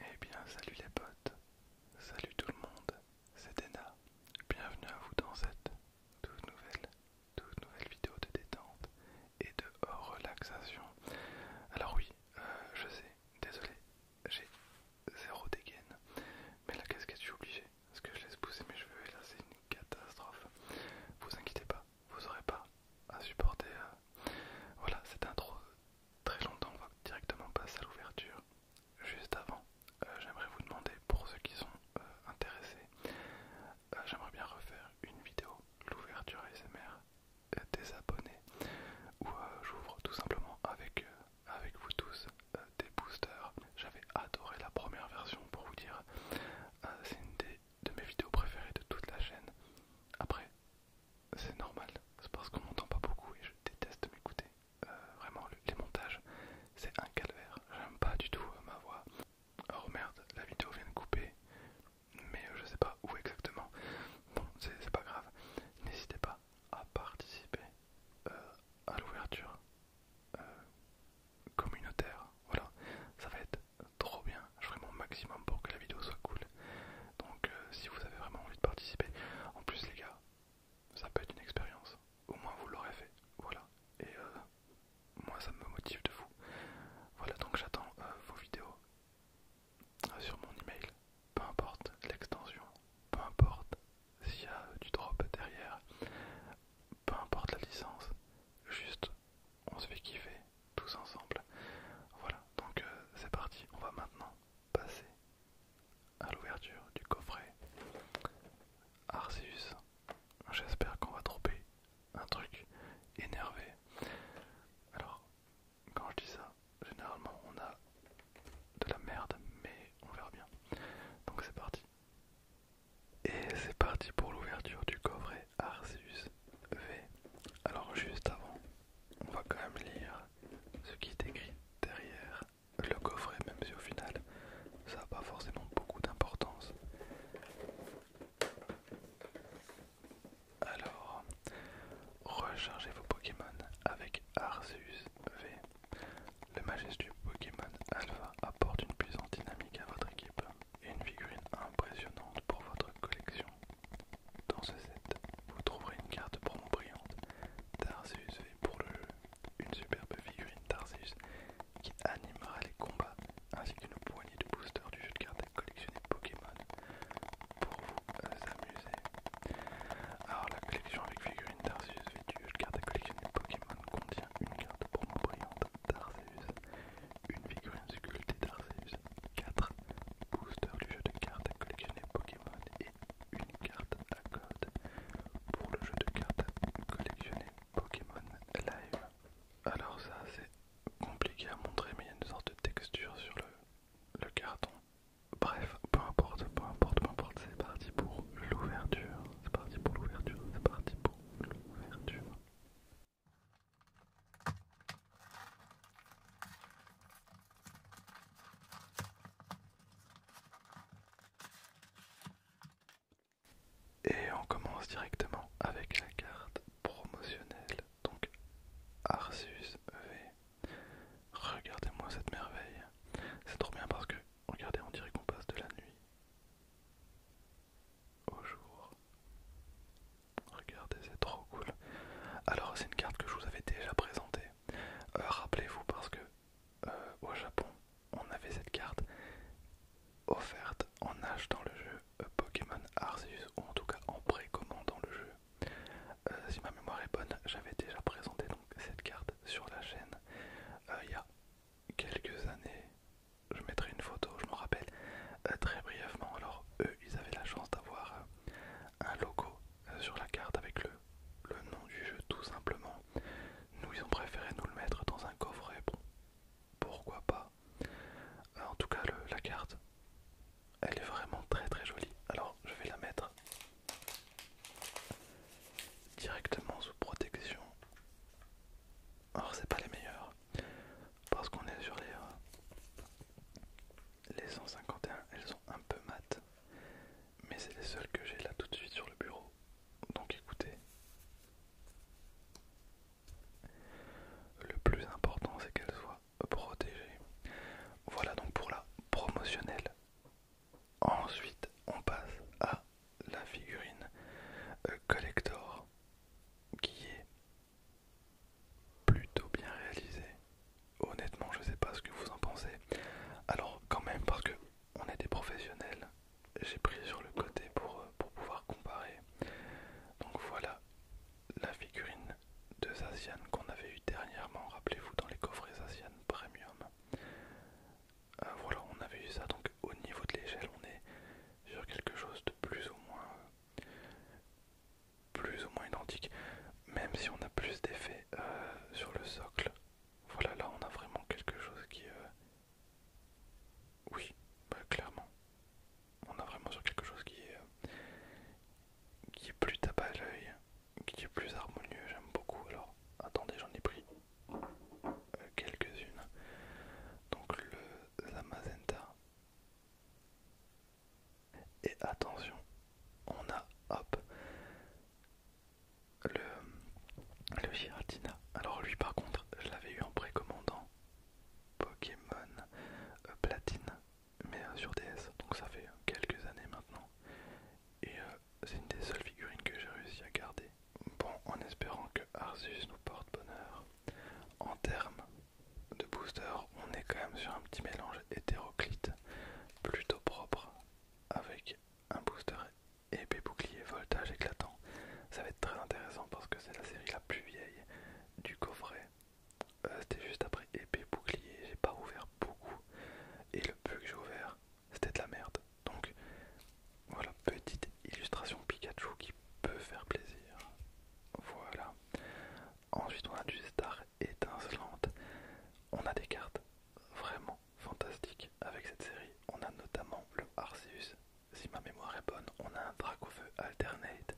Eh bien salut les potes, salut tout le monde, c'est Dena, bienvenue à vous dans cette toute nouvelle, toute nouvelle vidéo de détente et de relaxation. Alors oui, euh, je sais, désolé, j'ai zéro dégaine, mais la casquette je suis obligé, parce que je laisse pousser mes cheveux et là c'est une catastrophe. Vous inquiétez pas, vous aurez pas à supporter euh, voilà cette intro très longtemps, on va directement passer à l'ouverture. Juste avant, euh, j'aimerais vous demander, pour ceux qui sont euh, intéressés, euh, j'aimerais bien refaire une vidéo, l'ouverture ASMR des abonnés, où j'ouvre tout simplement avec, avec vous tous des boosters. J'avais adoré la première version pour vous dire, c'est une des de mes vidéos préférées de toute la chaîne. Après, c'est normal, c'est parce qu'on m'entend pas beaucoup et je déteste m'écouter. Euh, vraiment, les montages, c'est un calvaire. J'aime pas du tout euh, ma voix. Oh merde, la vidéo vient de couper, mais je euh, je sais pas où exactement. Bon, c'est pas grave. N'hésitez pas à participer à l'ouverture communautaire. Voilà, ça va être trop bien. Je ferai mon maximum pour que la vidéo soit cool donc euh, si vous avez vraiment envie de participer, en plus les gars, ça peut être une expérience. Au moins vous l'aurez fait. Voilà. Et euh, moi ça me motive de vous. Voilà donc j'attends euh, vos vidéos sur mon email. Peu importe l'extension, peu importe s'il y a du drop derrière, peu importe la licence, juste on se fait kiffer tous ensemble. Voilà, donc c'est parti, on va maintenant passer à l'ouverture du coffret Arceus. J'espère qu'on va trouver un truc énervé. Alors, quand je dis ça, généralement on a de la merde, mais on verra bien. Donc c'est parti. Et c'est parti pour l'ouverture du coffret Arceus V. Alors juste avant, on va quand même lire ce qui est écrit derrière le coffret, même si au final ça n'a pas forcément beaucoup d'importance. Alors, rechargez vos Pokémon avec Arceus V. Le majestueux Pokémon Alpha apporte une puissance dynamique à votre équipe et une figurine impressionnante pour votre collection. Dans ce set, vous trouverez une carte promo brillante, Tarsus V, pour le jeu, une superbe figurine Tarsus qui animera les combats, ainsi qu'une poignée de boosters du jeu de cartes à collectionner Pokémon pour vous euh, amuser. Alors la collection avec figurine Tarsius V du jeu de cartes à collectionner Pokémon contient une carte promo brillante Tarsus, une figurine sculptée Tarsius. 4 boosters du jeu de cartes à collectionner Pokémon et une carte à code pour le jeu de cartes à collectionner Pokémon Live. Alors ça c'est compliqué à montrer mais il y a une sorte de texture sur le, le carton. Bref, peu importe, peu importe, peu importe, c'est parti pour l'ouverture. C'est parti pour l'ouverture, c'est parti pour l'ouverture. Et on commence directement avec la carte promotionnelle, donc Arsus V. Regardez-moi cette merveille. C'est trop bien parce que, regardez, on dirait qu'on passe de la nuit au jour. Regardez, c'est trop cool. Alors, c'est une carte que je vous avais déjà présentée euh, rappelez-vous parce que euh, au Japon, on avait cette carte offerte en dans le jeu euh, Pokémon Arceus ou en tout cas en précommandant le jeu. si ma mémoire est bonne, j'avais déjà présenté donc cette carte sur la chaîne il y a quelques années. Je mettrai une photo, je m'en rappelle très brièvement. Alors eux, ils avaient la chance d'avoir un logo euh, sur la carte avec le, nom du jeu tout simplement. Nous ils ont préféré nous le mettre dans un coffret, pourquoi pas. Euh, en tout cas la carte elle est vraiment très très jolie. Alors je vais la mettre directement sous protection. Alors c'est pas les meilleurs parce qu'on est sur les, euh, les 151, elles sont un peu mates. Mais c'est les seules que j'ai là tout de suite sur le bureau. Donc écoutez. Le plus important c'est qu'elle soit protégée. Voilà donc pour la promotionnelle. Ensuite on passe à la figurine euh, collector qui est plutôt bien réalisé. Honnêtement, je sais pas ce que vous en pensez. Alors quand même, parce que on est des professionnels, j'ai pris sur le côté pour, euh, pour pouvoir comparer. Donc voilà la figurine de Zacian qu'on avait eu dernièrement, rappelez-vous, dans les coffrets Zacian Premium. Euh, voilà, on avait eu ça, donc au niveau de l'échelle, on est sur quelque chose de plus ou moins euh, plus ou moins identique, même si on a plus d'effets euh, sur le socle. Voilà, là on a vraiment quelque chose qui... est... Euh, oui, bah, clairement. On a vraiment sur quelque chose qui est, euh, qui est plus tape à l'œil, qui est plus harmonieux, j'aime beaucoup. Alors, attendez, j'en ai pris quelques-unes. Donc le la et attention, on a hop le, Giratina. Alors lui par contre, je l'avais eu en précommandant Pokémon euh, Platine, mais euh, sur DS, donc ça fait euh, quelques années maintenant. Et c'est une des seules figurines que j'ai réussi à garder. Bon, en espérant que Arceus nous porte bonheur. En termes de booster, on est quand même sur un petit mélange hétéroclite plutôt propre avec un booster épais bouclier voltage éclatant. Ça va être très intéressant parce que c'est la série la plus vieille du coffret. Euh, c'était juste après épais bouclier, j'ai pas ouvert beaucoup et le peu que j'ai ouvert c'était de la merde. Donc voilà, petite illustration Pikachu qui peut faire plaisir. Voilà, Ensuite, on a du star étincelante. On a des cartes vraiment fantastiques avec cette série. On a notamment le Arceus, si ma mémoire est bonne. On a un Dracofeu Alternate,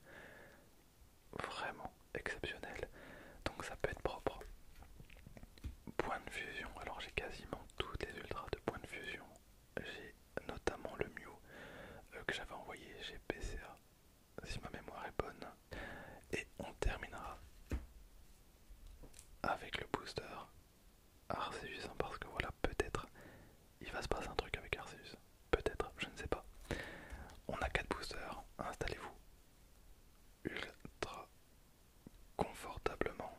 vraiment exceptionnel. Donc, ça peut être propre. Point de fusion. Alors, j'ai quasiment toutes les ultras de point de fusion. J'ai notamment le Mew euh, que j'avais envoyé J'ai PCA si ma mémoire est bonne. Et on terminera avec le booster Arceus, hein, parce que voilà, peut-être il va se passer un truc avec Arceus. Peut-être, je ne sais pas. On a 4 boosters, installez-vous ultra confortablement.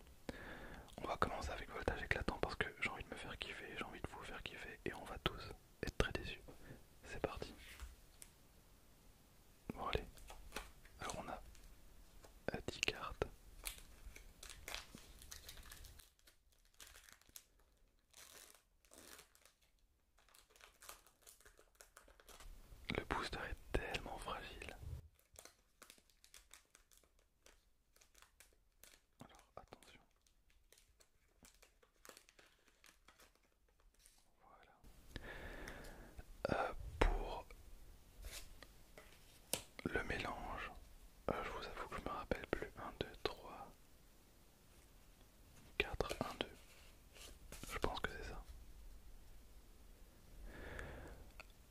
On va commencer avec Voltage éclatant parce que j'ai envie de me faire kiffer, j'ai envie de vous faire kiffer et on va tous être très déçus. C'est parti. Bon allez, alors on a 10 cartes. Le booster est tellement fragile. Alors attention. Voilà. Euh, pour le mélange, euh, je vous avoue que je me rappelle plus. 1, 2, 3, 4, 1, 2. Je pense que c'est ça.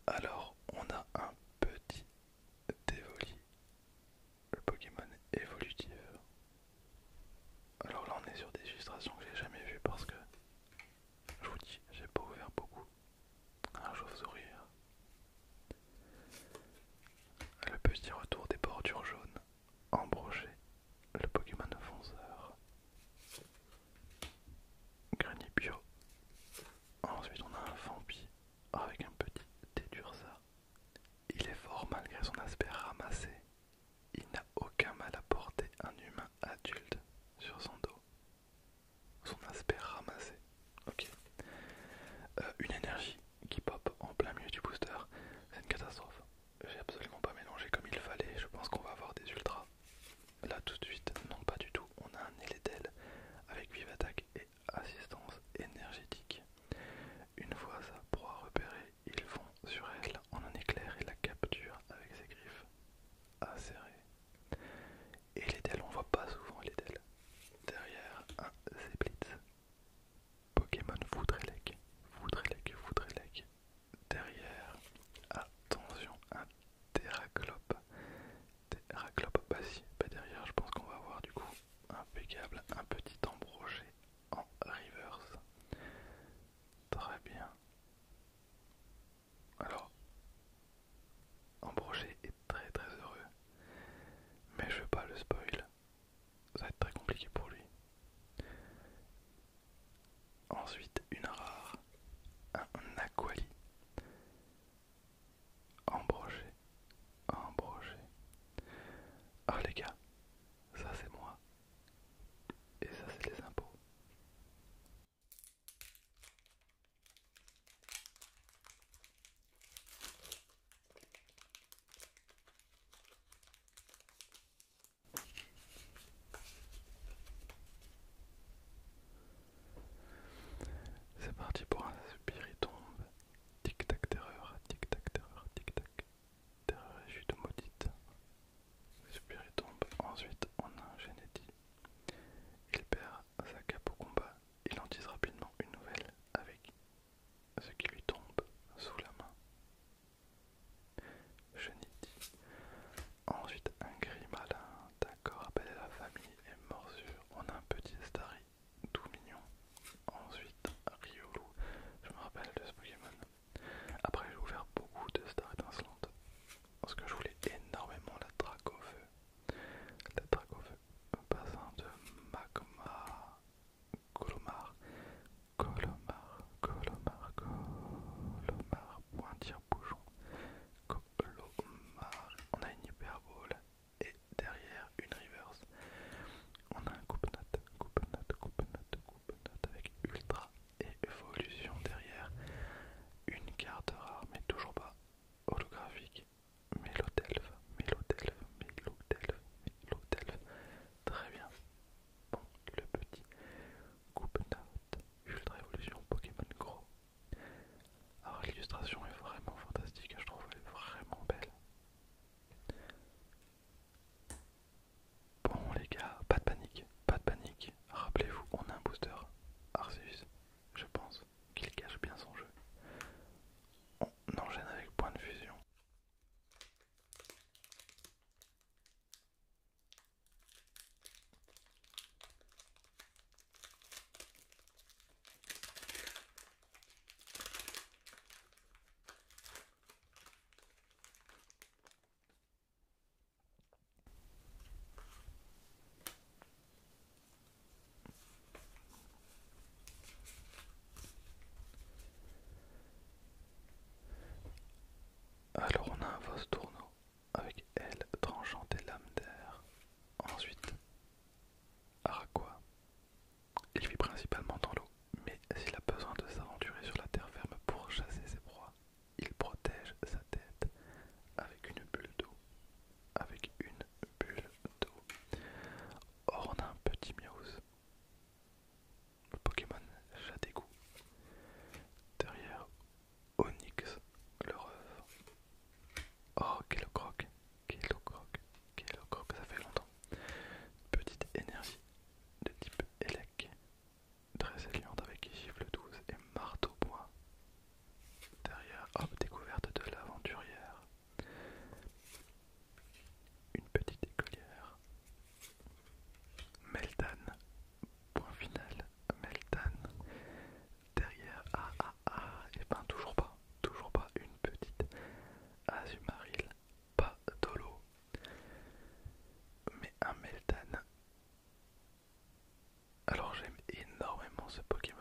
Alors, on a un petit dévoli, le Pokémon évolutif. Alors là on est sur des illustrations que j'ai jamais vues parce que je vous dis j'ai pas ouvert beaucoup. Un chauve sourire hein. Le petit retour des bordures jaunes. Embroché. Le Pokémon fonceur. Granny bio. Ensuite on a un Fampi avec un petit Dédurza. Il est fort malgré son aspect ramassé il n'a aucun mal à porter un humain adulte sur son dos. Son aspect ramassé. Ok. Euh, une énergie qui pop en plein milieu du booster, c'est une catastrophe. J'ai absolument pas mélangé comme il fallait, je pense qu'on va avoir des ultras. Là tout de suite, non pas du tout, on a un d'aile avec vive attaque et assistance énergétique. Une fois sa proie repérée, ils vont sur elle en un éclair et la capturent avec ses griffes acérées. Et les on voit pas souvent les Derrière un Zeblitz. Pokémon Foudrelec. Foudrelec, Foudrelec. Derrière, attention, un Terraclope. Terraclope, bah si, pas bah derrière, je pense qu'on va avoir du coup impeccable un petit embroché en reverse. Très bien. Alors, Ambroger est très très heureux, mais je veux pas le spoil. Ça va être très compliqué pour lui. Ensuite, une rare, un Aquali. Embroché, embroché. Ah les gars, ça c'est moi. Et ça, c'est les impôts. C'est parti pour un tombe Tic tac terreur, tic tac terreur, tic tac. Terreur les chutes maudites. tombe. Ensuite, on a un Il perd sa cape au combat. Il en tisse rapidement une nouvelle avec ce qui lui tombe sous la main. Geneti. Ensuite, un gris malin d'accord appelé la famille et morsure. On a un petit Starry tout mignon. Ensuite, Riolu. Je me rappelle de ce Pokémon. Après, j'ai ouvert beaucoup de stars Land parce que je voulais énormément la drague feu. La drague au feu, un passant de magma, colomar, colomar, colomar, colomar, pointir bouchon, colomar. On a une hyperbole et derrière une reverse. On a un coupe-note, coupe-note, coupe-note, coupe note coupe note coupe note note avec Ultra et Evolution derrière. Une carte rare, mais toujours pas holographique. Mélodelve, Mélodelve, Mélodelve, Mélodelve. Très bien. Bon, le petit coupe note Ultra Evolution Pokémon Gros. Alors l'illustration est vraiment fantastique, je trouve elle est vraiment belle. Bon les gars, pas de panique, pas de panique. Rappelez-vous, on a un booster. Arceus, je pense qu'il cache bien son jeu. On enchaîne avec point de fusion. Alors on a un vos tourneau avec elle tranchant et lames d'air. Ensuite, Araquois. Il vit principalement dans l'eau, mais s'il a besoin de s'aventurer sur la terre ferme pour chasser ses proies, il protège sa tête avec une bulle d'eau. Avec une bulle d'eau. Or, on a un petit Meowth. Le Pokémon Jadégout. Derrière Onyx, le ref. Oh, croque quel croque, ça fait longtemps. Petite énergie de type Elec. Très avec chiffre 12 et marteau point. Derrière, hop, découverte de l'aventurière. Une petite écolière. Meltan. Point final. Meltan. Derrière, ah ah ah, et eh ben toujours pas, toujours pas une petite Azumaril, pas Dolo, mais un Meltan alors j'aime énormément ce Pokémon.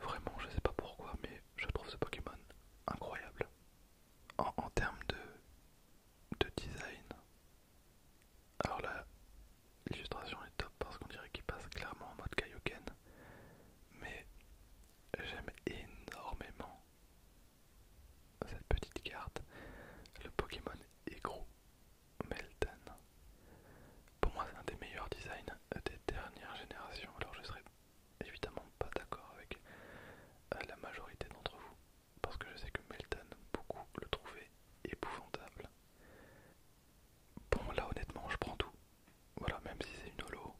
Vraiment, je sais pas pourquoi, mais je trouve ce Pokémon incroyable. En, termes de, de design. Alors là, l'illustration est top parce qu'on dirait qu'il passe clairement en mode Kaioken. Mais j'aime énormément cette petite carte. Le Pokémon est gros, Melton. Pour moi, c'est un des meilleurs designs des dernières générations. Alors, je serais évidemment pas d'accord avec euh, la majorité d'entre vous, parce que je sais que Melton, beaucoup le trouvait épouvantable. Bon, là, honnêtement, je prends tout. Voilà, même si c'est une holo,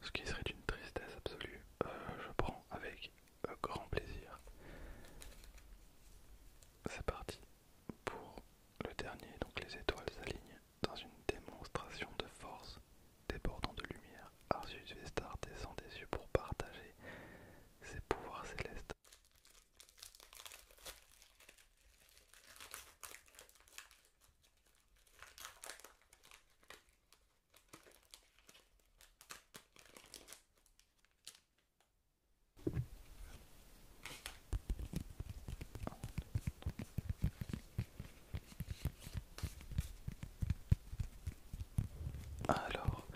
ce qui serait une tristesse absolue, euh, je prends avec euh, grand plaisir. C'est parti pour le dernier, donc les étoiles s'alignent dans une démonstration de force débordant de lumière. Arsus Vestar descend des yeux pour partager ses pouvoirs célestes. Alors,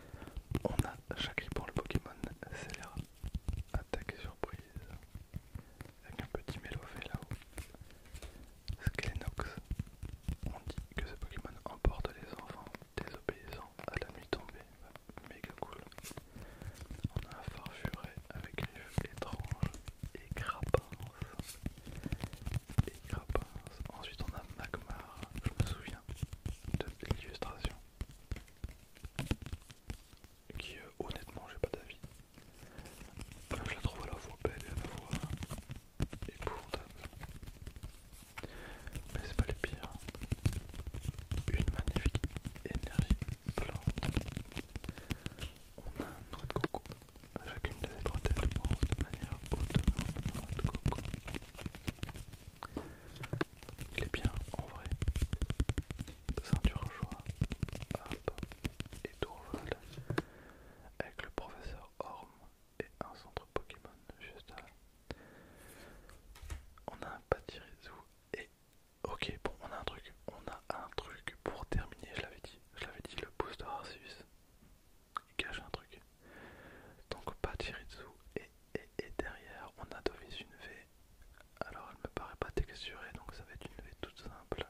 on a Chakri pour le Pokémon Célère attaque surprise, avec un petit mélofé là-haut. Skelenox, on dit que ce Pokémon emporte les enfants désobéissants à ah, la nuit tombée, méga cool. On a un farfuret avec une yeux étrange et grappins. Ensuite on a Magmar, je me souviens de l'illustration. Qui euh, honnêtement j'ai pas d'avis. Euh, je la trouve à la fois belle et à la fois épouvantable. Mais c'est pas le pire. Une magnifique énergie plante. On a un noix de coco. Chacune des trois têtes pense de manière autonome de coco. Il est bien en vrai. Ceinture joie. Hop. Et Tourval, Avec le professeur Orme et un centre Pokémon juste là. On a un pâtirisou et... Ok, bon, on a un truc. On a un truc pour terminer, je l'avais dit. Je l'avais dit, le booster Arceus. Il cache un truc. Donc pas et, et, et derrière, on a d'office une V. Alors elle me paraît pas texturée, donc ça va être une V toute simple.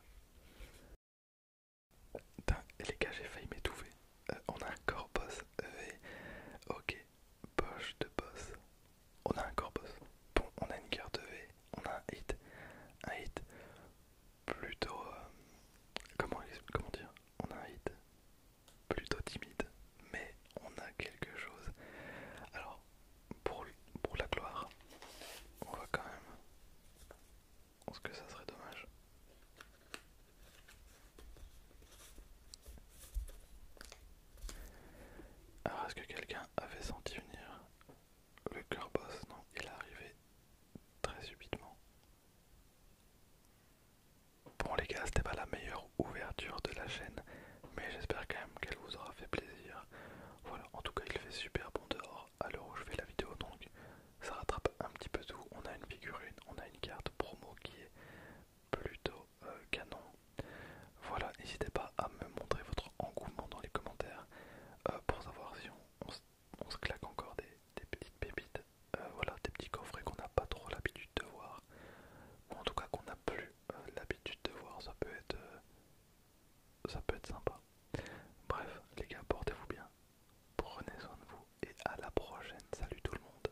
Putain, les gars, j'ai failli m'étouffer. Euh, on a un corpus V. Ok, Poche de boss. On a un corps boss. Bon, on a une carte V, on a un hit. Un hit plutôt... Euh, comment, comment dire On a un hit plutôt timide, mais on a quelque chose. Alors, pour, pour la gloire, on va quand même... Parce que ça serait dommage. Alors est-ce que quelqu'un avait senti venir le cœur boss Non, il est arrivé très subitement. Bon les gars, c'était pas la meilleure ouverture de la chaîne, mais j'espère quand même qu'elle vous aura fait plaisir. Voilà, en tout cas il fait super bon dehors Alors, l'heure où je fais la vidéo, donc ça rattrape un petit peu tout. On a une figurine, on a une carte promo qui est plutôt euh, canon. Voilà, n'hésitez pas à me montrer votre engouement dans les commentaires euh, pour savoir si on, se, claque encore des, petites pépites, euh, voilà, des petits coffrets qu'on n'a pas trop l'habitude de voir, ou en tout cas qu'on n'a plus l'habitude de voir, ça peut être ça peut être sympa. Bref, les gars, portez-vous bien, prenez soin de vous et à la prochaine. Salut tout le monde.